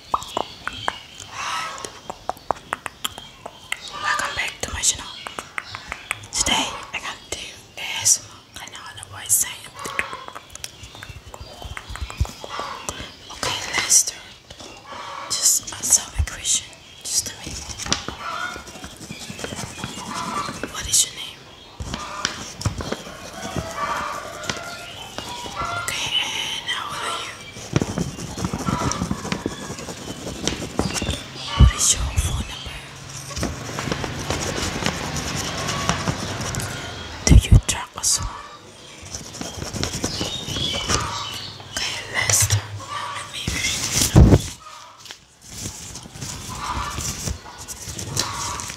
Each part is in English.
Welcome back to my channel. Today I got to do ASMR. I know I know what saying. Okay, let's start. Just answer my question. Just a minute. What is your name? Okay, how are you? What is your phone number? Do you drink as Okay, let's Let me read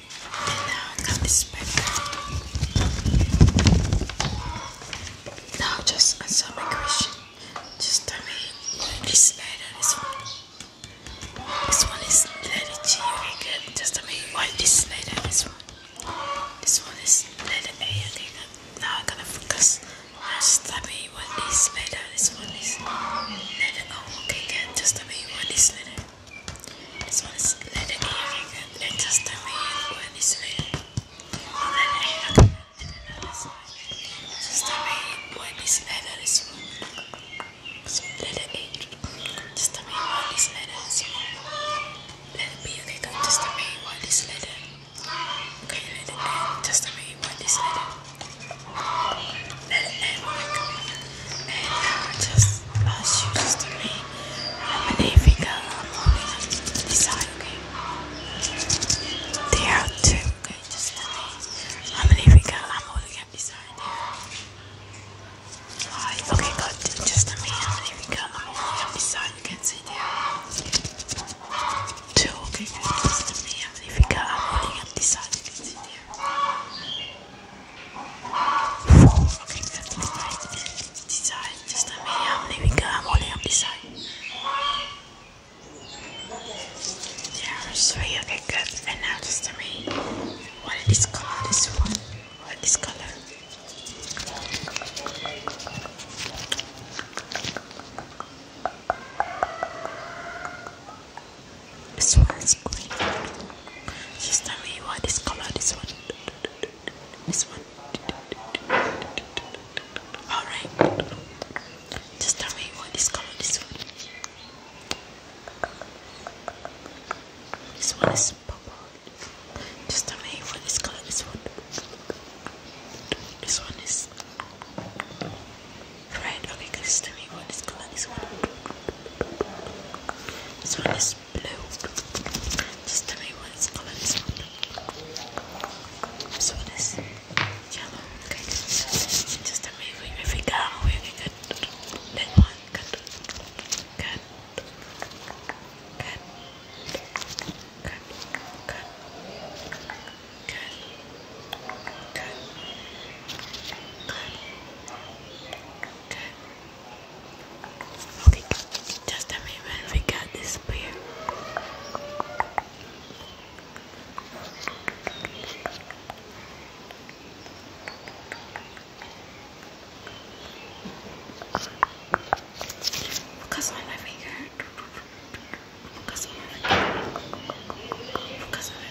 Now I got this back. Now just answer my question. Just tell me where this letter is from. This one is letter G. Okay, good. Just tell me why this letter is from. This one is letter A. Okay, good. Now I gotta focus. Now just tell me what this letter. This one is letter O. Oh, okay, good. Just tell me what this letter. This one's leather earring and letters to me one is red. And then I have another side. Just to me one is leather is wrong. So leather Just to me one is Let it be okay, just to me What is is let it end. Just to me one is and I just uh, ask you just to me how many finger I'm holding this side, okay? There are two, okay? Just tell me how many finger I'm holding up this side. Five, okay, good. Just tell me how many finger I'm holding up this side. You can see there. Two, okay? Just tell me how many finger I'm holding up this side. You can see there. This side, just a minute, how many we got? I'm only on this side. There's three, okay, good. And now just a minute. What is this color? This one? What is this color? This one is green. Sister, you want this color? This one. This one. Alright. Sister, you want this color? This one. This one is purple. Sister, you want this color? This one. This one is red. Okay, guys, tell me what this color is. One. This one is blue. Just tell me what this color is. One. So yellow. Okay, just tell me if we, if we got away, we one. Good. Good. Good. Good. Good. Good. Good. Good. Okay, just a minute we got this beer. Focus on my Focus on my Focus on my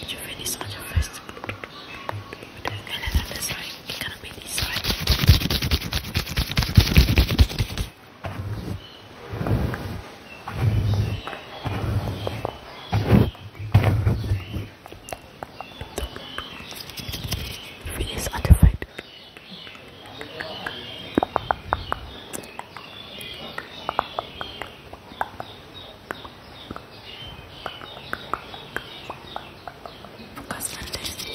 Did you finish on your first? And another side, it's gonna be this side. Face undefined. Focus on this.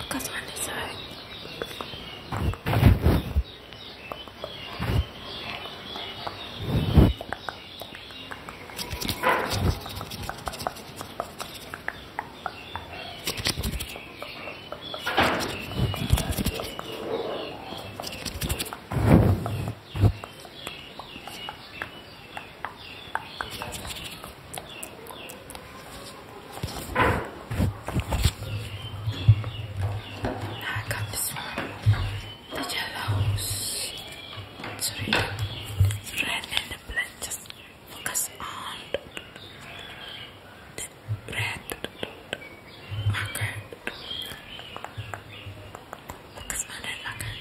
Focus on this side. Focus now I got this one that allows sorry red and black just focus on the red marker focus on red red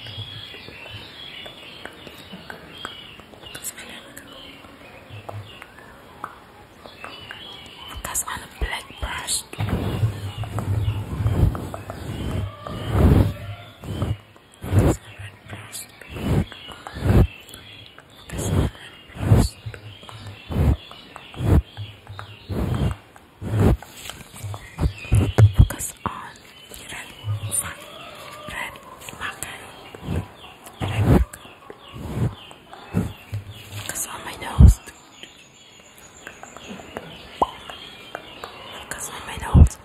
focus on the black brush first. This Focus on red fun, red red Focus on my nose. Focus on my nose.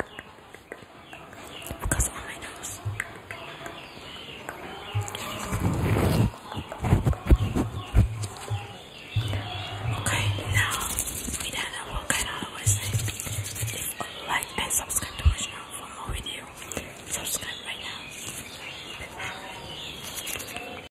Focus on my nose. Okay, now we done know what kind of always like and subscribe to my channel for more video. Subscribe right now.